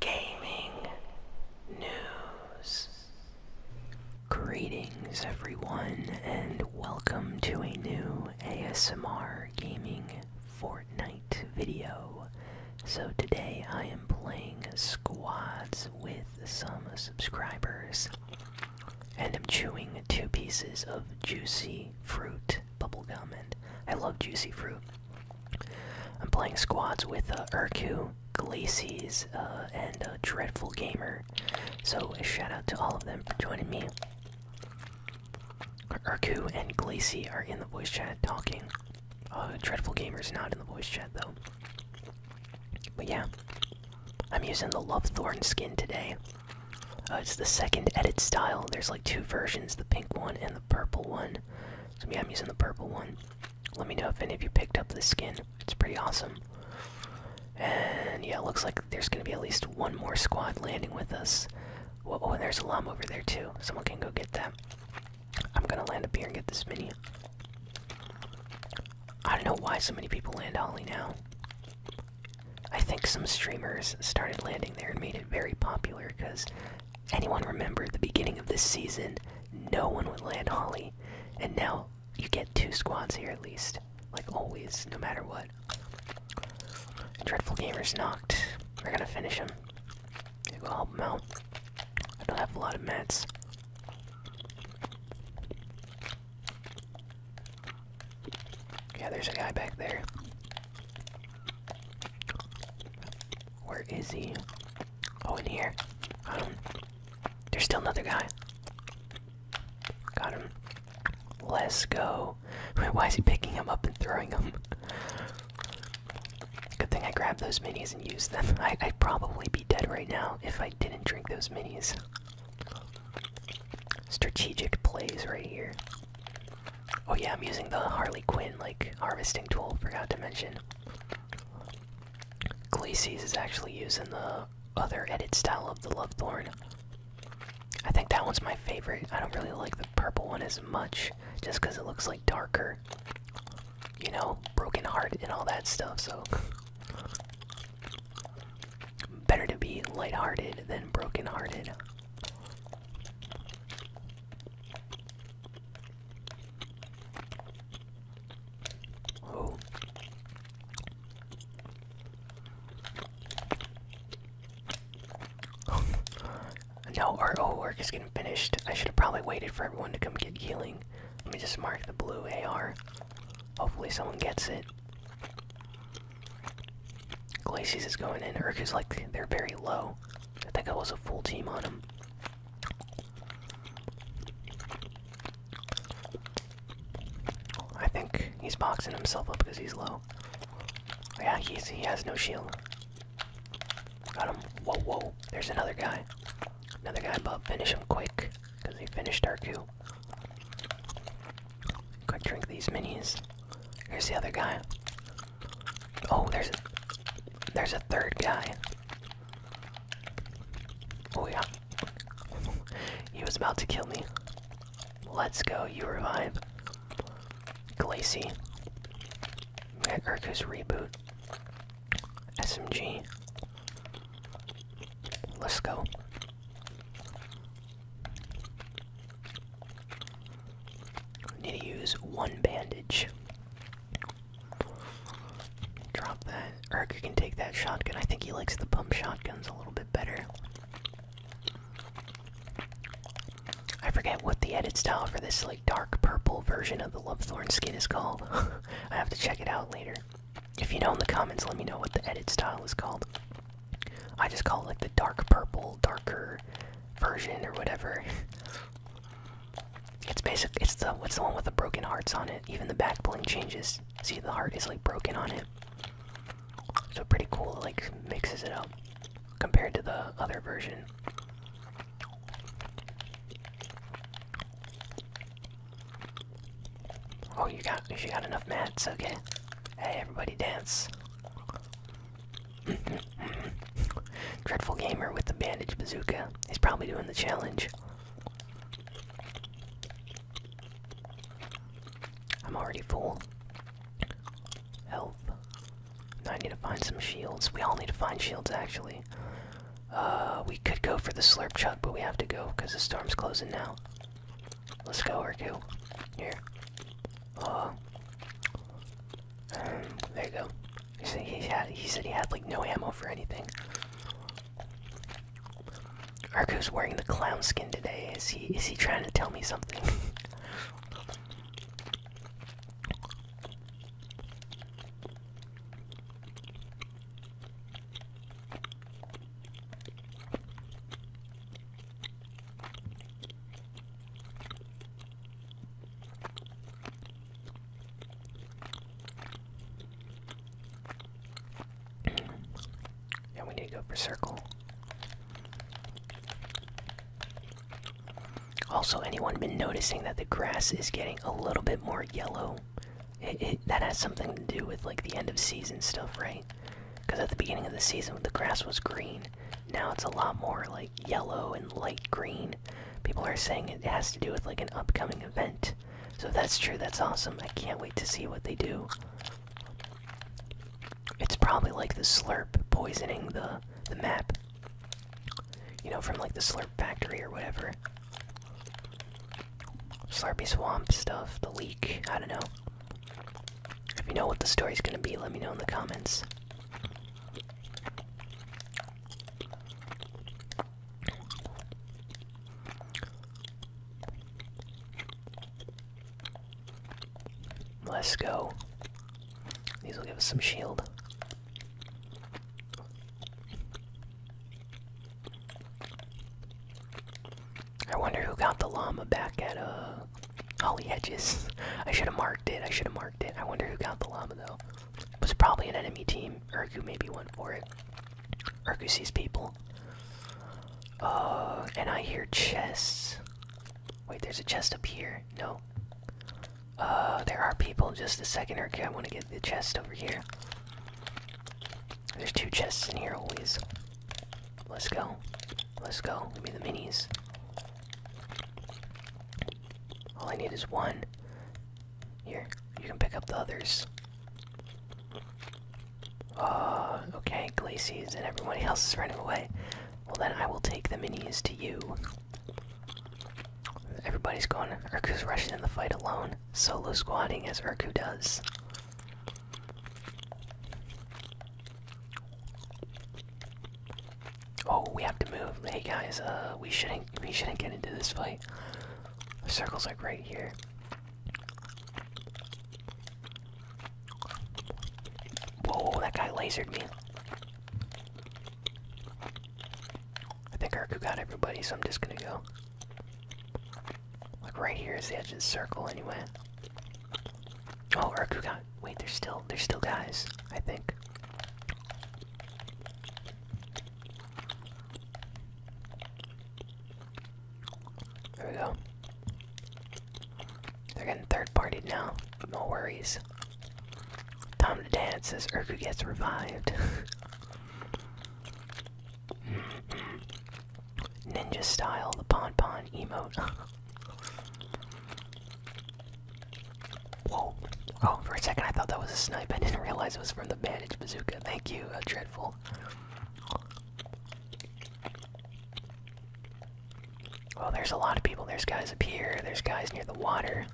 gaming news. Greetings, everyone, and welcome to a new ASMR Gaming Fortnite video. So, today I am playing squads with some subscribers, and I'm chewing two pieces of juicy fruit bubblegum, and I love juicy fruit. I'm playing squads with uh, Urku, Glacies, uh, and uh, Dreadful Gamer. So, a shout out to all of them for joining me. Urku and Glacies are in the voice chat talking. Uh, Dreadful Gamer's not in the voice chat though. But yeah, I'm using the Love Thorn skin today. Uh, it's the second edit style. There's like two versions the pink one and the purple one. So yeah, I'm using the purple one. Let me know if any of you picked up this skin. It's pretty awesome. And yeah, it looks like there's gonna be at least one more squad landing with us. oh, and there's a lum over there too. Someone can go get them. I'm gonna land up here and get this mini. I don't know why so many people land Holly now. I think some streamers started landing there and made it very popular because Anyone remember the beginning of this season, no one would land Holly, and now you get two squads here at least, like always, no matter what. Dreadful Gamer's knocked. We're gonna finish him. Gonna go help them out. I don't have a lot of mats. Yeah, there's a guy back there. Where is he? Oh, in here. Got um, There's still another guy. Got him. Let's go. Wait, why is he picking him up and throwing him? Good thing I grabbed those minis and used them. I, I'd probably be dead right now if I didn't drink those minis. Strategic plays right here. Oh yeah, I'm using the Harley Quinn like harvesting tool. Forgot to mention. Glacies is actually using the other edit style of the Love Thorn. I think that one's my favorite. I don't really like the purple one as much, just because it looks like darker. You know, broken heart and all that stuff, so. Better to be lighthearted than brokenhearted. Oh. now our O is getting finished. I should have probably waited for everyone to come get healing. Let me just mark the blue AR. Hopefully someone gets it. Glacies is going in. Urk is like they're very low. I think I was a full team on him. I think he's boxing himself up because he's low. Yeah, he's he has no shield. Got him. Whoa, whoa. There's another guy. Another guy Bob. Finish him quick. Because we finished Darku. Quick drink these minis. Here's the other guy. Oh, there's a, there's a third guy. Oh yeah. he was about to kill me. Let's go, you revive. Glacy. Urkus reboot. SMG. Let's go. Need to use one bandage. Drop that. Urker can take that shotgun. I think he likes the pump shotguns a little bit better. I forget what the edit style for this like dark purple version of the Lovethorn skin is called. I have to check it out later. If you know in the comments, let me know what the edit style is called. I just call it like the dark purple, darker version or whatever. It's basic. It's the what's the one with the broken hearts on it. Even the back bling changes. See, the heart is like broken on it. So pretty cool. It, like mixes it up compared to the other version. Oh, you got you got enough mats. Okay. Hey, everybody, dance. Dreadful gamer with the bandage bazooka. He's probably doing the challenge. I'm already full. Help. Now I need to find some shields. We all need to find shields, actually. Uh, we could go for the slurp chuck, but we have to go because the storm's closing now. Let's go, Urku. Here. there you go. He said he had he said he had like no ammo for anything. Arku's wearing the clown skin today. Is he is he trying to tell me something? Yeah, we need to go for circle. Also, anyone been noticing that the grass is getting a little bit more yellow? It, that has something to do with like the end of season stuff, right? Because at the beginning of the season, the grass was green. Now it's a lot more like yellow and light green. People are saying it has to do with like an upcoming event. So if that's true, that's awesome. I can't wait to see what they do. It's probably like the slurp poisoning the the map. You know, from like the slurp factory or whatever. Slurpy swamp stuff, the leak, I don't know. If you know what the story's gonna be, let me know in the comments. Let's go. These will give us some shield. I wonder who got the llama back at uh Holly Hedges. I should have marked it. I should have marked it. I wonder who got the llama though was probably an enemy team. Urku maybe went for it. Urku sees people. Oh, and I hear chests. Wait, there's a chest up here. No. Uh, there are people. Just a second, Urku. I want to get the chest over here. There's two chests in here always. Let's go. Let's go. Give me the minis. All I need is one. Here, you can pick up the others. Uh, okay, Glacies and everybody else is running away. Well, then I will take the minis to you. Everybody's going. Urku's rushing in the fight alone, solo squatting as Urku does. Oh, we have to move. Hey guys, uh, we shouldn't we shouldn't get into this fight. The circle's are right here. Whoa, that guy lasered me. I think Erku got everybody, so I'm just gonna go. Like right here is the edge of the circle anyway. Oh, Erku got wait, they're still they're still guys, I think. There we go. They're getting third partied now. No worries. Time to dance as Urku gets revived. Ninja style, the pon pon emote. Whoa. Oh, for a second I thought that was a snipe. I didn't realize it was from the bandage bazooka. Thank you, uh, Dreadful. Well, there's a lot of people. There's guys up here. There's guys near the water.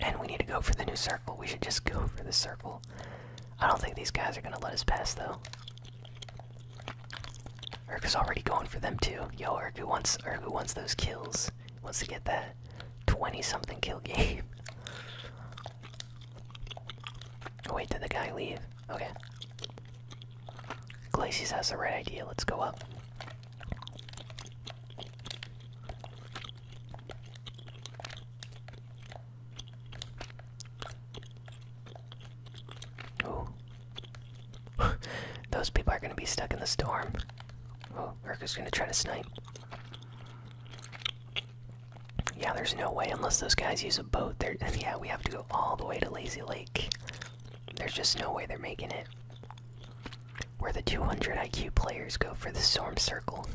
And we need to go for the new circle. We should just go for the circle. I don't think these guys are going to let us pass, though. is already going for them, too. Yo, Urgu wants, Urgu wants those kills wants to get that 20 something kill game. wait, did the guy leave? Okay. Glacies has the right idea. Let's go up. Those people are gonna be stuck in the storm. Oh, Urka's gonna try to snipe. Yeah, there's no way unless those guys use a boat. There, yeah, we have to go all the way to Lazy Lake. There's just no way they're making it. Where the 200 IQ players go for the storm circle.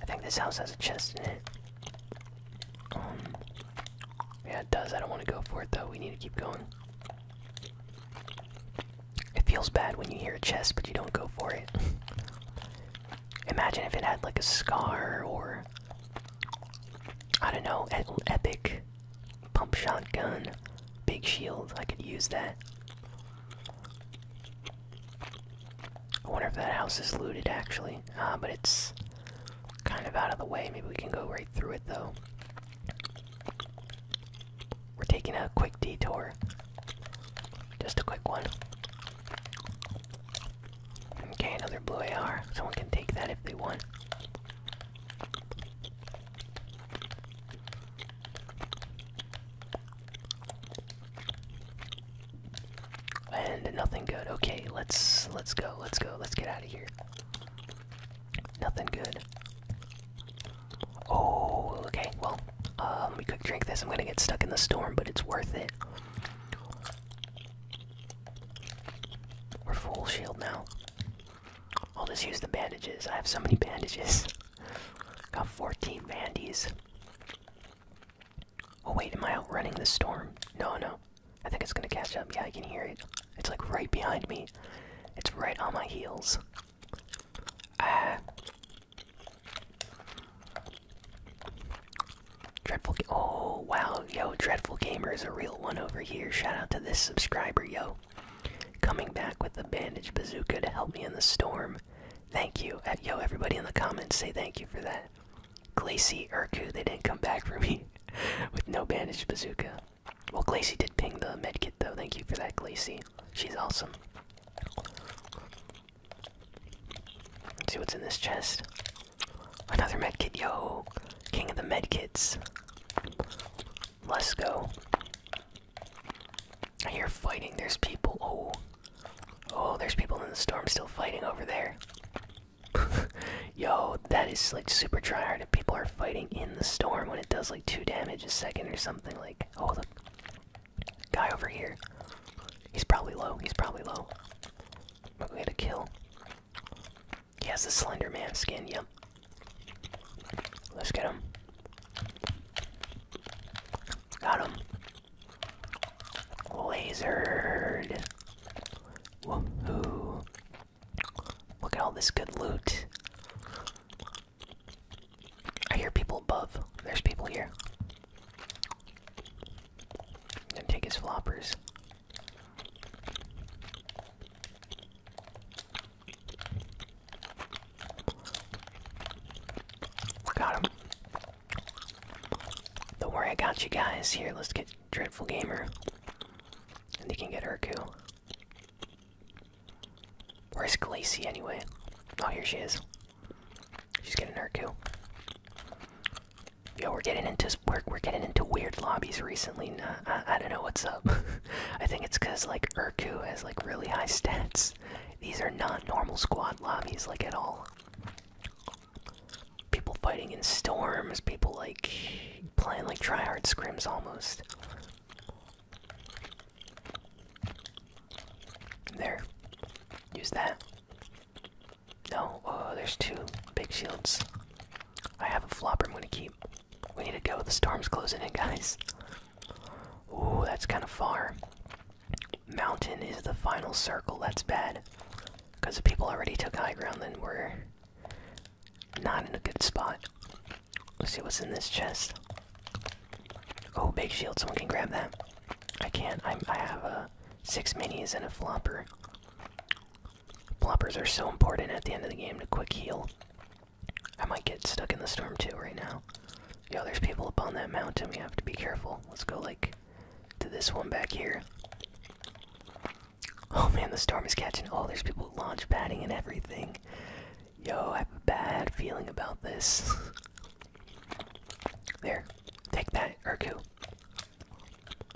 I think this house has a chest in it. Um, yeah, it does. I don't want to go for it though. We need to keep going. It feels bad when you hear a chest, but you don't go for it. Imagine if it had like a scar or. I don't know, epic pump shotgun, big shield. I could use that. I wonder if that house is looted actually. Ah, but it's kind of out of the way. Maybe we can go right through it though. We're taking a quick detour. Just a quick one. Okay, another blue AR. Someone can take that if they want. And nothing good. Okay, let's let's go. Let's go. Let's get out of here. Nothing good. Oh, okay. Well, let me quick drink this. I'm gonna get stuck in the storm, but it's worth it. We're full shield now. I'll just use the bandages. I have so many bandages. Got 14 bandies. Oh wait, am I outrunning the storm? No, no. I think it's gonna catch up. Yeah, I can hear it. It's like right behind me. It's right on my heels. Ah. Dreadful. Oh, wow. Yo, Dreadful Gamer is a real one over here. Shout out to this subscriber, yo. Coming back with the bandage bazooka to help me in the storm. Thank you. Eh, yo, everybody in the comments say thank you for that. Glacy Urku, they didn't come back for me with no bandage bazooka. Well, Glacy did ping the med kit though. Thank you for that, Glacy. She's awesome. see what's in this chest. Another med kit, yo! King of the med kits. Let's go. Are you fighting. There's people. Oh. Oh, there's people in the storm still fighting over there. Yo, that is like super tryhard if people are fighting in the storm when it does like two damage a second or something. Like, oh, the guy over here. He's probably low. He's probably low. We am gonna kill. He has the Slender Man skin. Yep. Let's get him. Got him. Lasered. Look at all this good loot. I hear people above. There's people here. I'm take his floppers. Got him. Don't worry, I got you guys. Here, let's get Dreadful Gamer. And he can get Urku. Where's Glacy anyway? Oh, here she is. She's getting Urku. Yo, we're getting into we we're getting into weird lobbies recently. Nah, I, I don't know what's up. I think it's because like Urku has like really high stats. These are not normal squad lobbies like at all people fighting in storms, people like playing like tryhard scrims almost. There. Use that. No, oh, there's two big shields. I have a flopper I'm gonna keep. We need to go. The storm's closing in, guys. Ooh, that's kind of far. Mountain is the final circle. That's bad. Because the people already took high ground, then we're not in a good spot. Let's see what's in this chest. Oh, big shield. Someone can grab that. I can't. i have a uh, six minis and a flopper. Floppers are so important at the end of the game to quick heal. I might get stuck in the storm too right now. Yo, there's people up on that mountain. We have to be careful. Let's go, like, to this one back here. Oh man, the storm is catching. All these people launch padding and everything. Yo, I have a bad feeling about this. there, take that, Urku.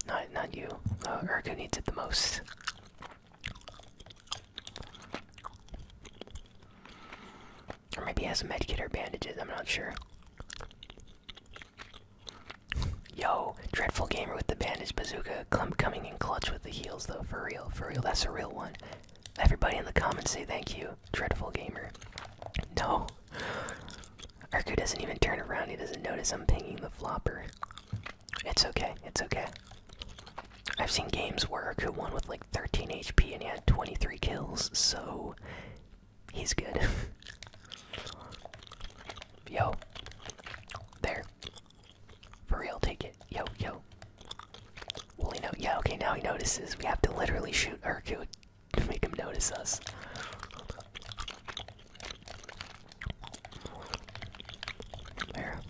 Not, not you. Uh, Urku needs it the most. Or maybe he has some medkit or bandages. I'm not sure. Yo, dreadful gamer with the bandage bazooka coming in clutch with the heels though, for real, for real. That's a real one. Everybody in the comments say thank you, dreadful gamer. No, Arku doesn't even turn around. He doesn't notice I'm pinging the flopper. It's okay. It's okay. I've seen games work. Who won with like 13 HP and he had 23 kills, so he's good. Yo. There. For real, take it. Yo, yo. Well, he know. Yeah, okay, now he notices. We have to literally shoot Urku to make him notice us. There.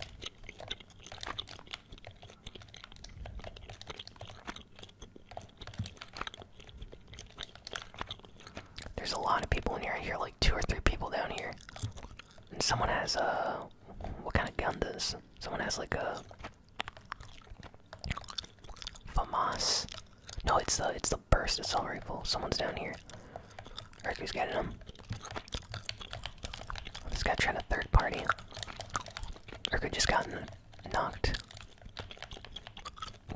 There's a lot of people in here. I hear like two or three people down here. And someone has a. Uh, what kind of gun does? Someone has like a. FAMAS. No, it's the it's the burst assault rifle. Someone's down here. Hercules getting him. This guy trying to third party. Urku just got knocked.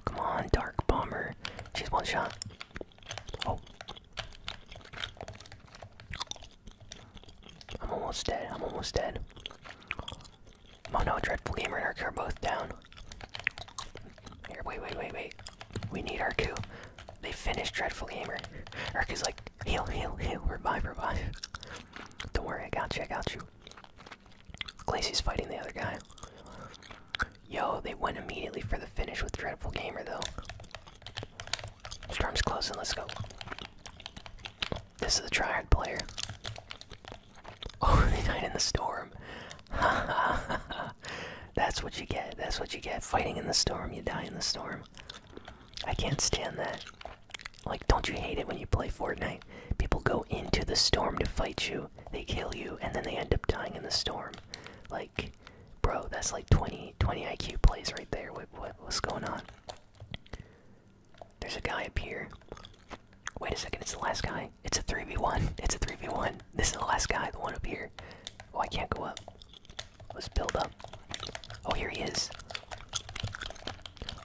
Come on, Dark Bomber. Just one shot. Oh. I'm almost dead. I'm almost dead. Oh no, Dreadful Gamer and Arku are both down. Here, wait, wait, wait, wait. We need Arku. They finished Dreadful Gamer. Arku's like, heal, heal, heal, revive, revive. Don't worry, I got you, I got you. Glacy's fighting the other guy. Yo, they went immediately for the finish with Dreadful Gamer, though. Storm's closing, let's go. This is a tryhard player. Oh, they died in the storm. That's what you get. That's what you get. Fighting in the storm, you die in the storm. I can't stand that. Like, don't you hate it when you play Fortnite? People go into the storm to fight you, they kill you, and then they end up dying in the storm. Like, bro, that's like 20, 20 IQ plays right there. What, what's going on? There's a guy up here. Wait a second, it's the last guy. It's a 3v1. It's a 3v1. This is the last guy, the one up here. Oh, I can't go up. Let's build up. Oh, here he is.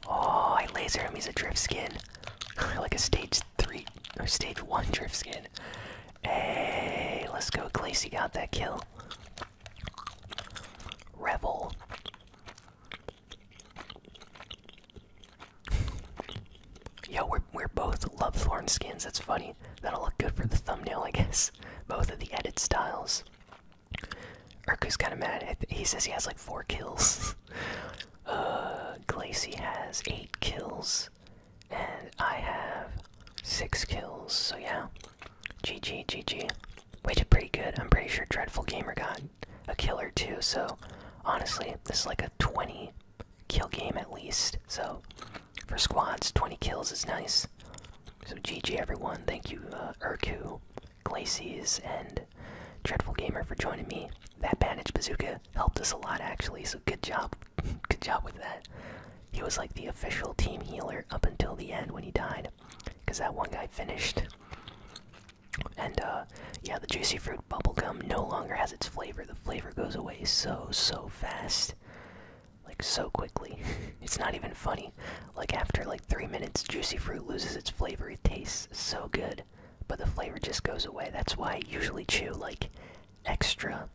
Oh, I laser him. He's a drift skin. like a stage 3 or stage 1 drift skin. Hey, let's go, Glacy got that kill. Rebel. Yo, we're, we're both love thorn skins, that's funny. That'll look good for the thumbnail, I guess. Both of the edit styles. Urku's kinda mad, he says he has like four kills. uh, Glacy has eight kills and I have six kills. So yeah, GG, GG. We did pretty good. I'm pretty sure Dreadful Gamer got a killer too. So honestly, this is like a 20 kill game at least. So for squads, 20 kills is nice. So GG everyone. Thank you, uh, Urku, Glacies, and Dreadful Gamer for joining me. That bandage bazooka helped us a lot actually. So good job, good job with that. He was like the official team healer up until the end when he died, because that one guy finished. And uh, yeah, the juicy fruit bubblegum no longer has its flavor. The flavor goes away so so fast, like so quickly. it's not even funny. Like after like three minutes, juicy fruit loses its flavor. It tastes so good, but the flavor just goes away. That's why I usually chew like extra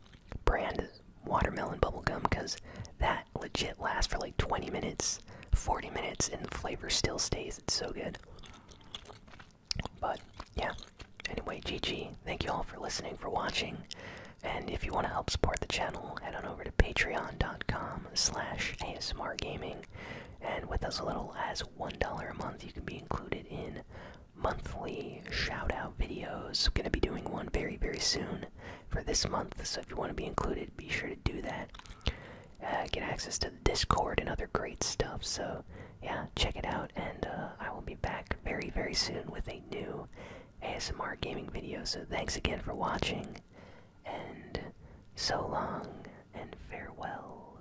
brand watermelon bubblegum because that legit lasts for like 20 minutes, 40 minutes, and the flavor still stays. It's so good. But yeah, anyway, GG. Thank you all for listening, for watching. And if you want to help support the channel, head on over to patreon.com slash ASMR Gaming. And with as little as $1 a month, you can be included in monthly shout out videos. going to be doing one very, very soon for this month. So if you want to be included, be sure to do that. Uh, get access to Discord and other great stuff. So yeah, check it out. And uh, I will be back very, very soon with a new ASMR gaming video. So thanks again for watching. And so long and farewell.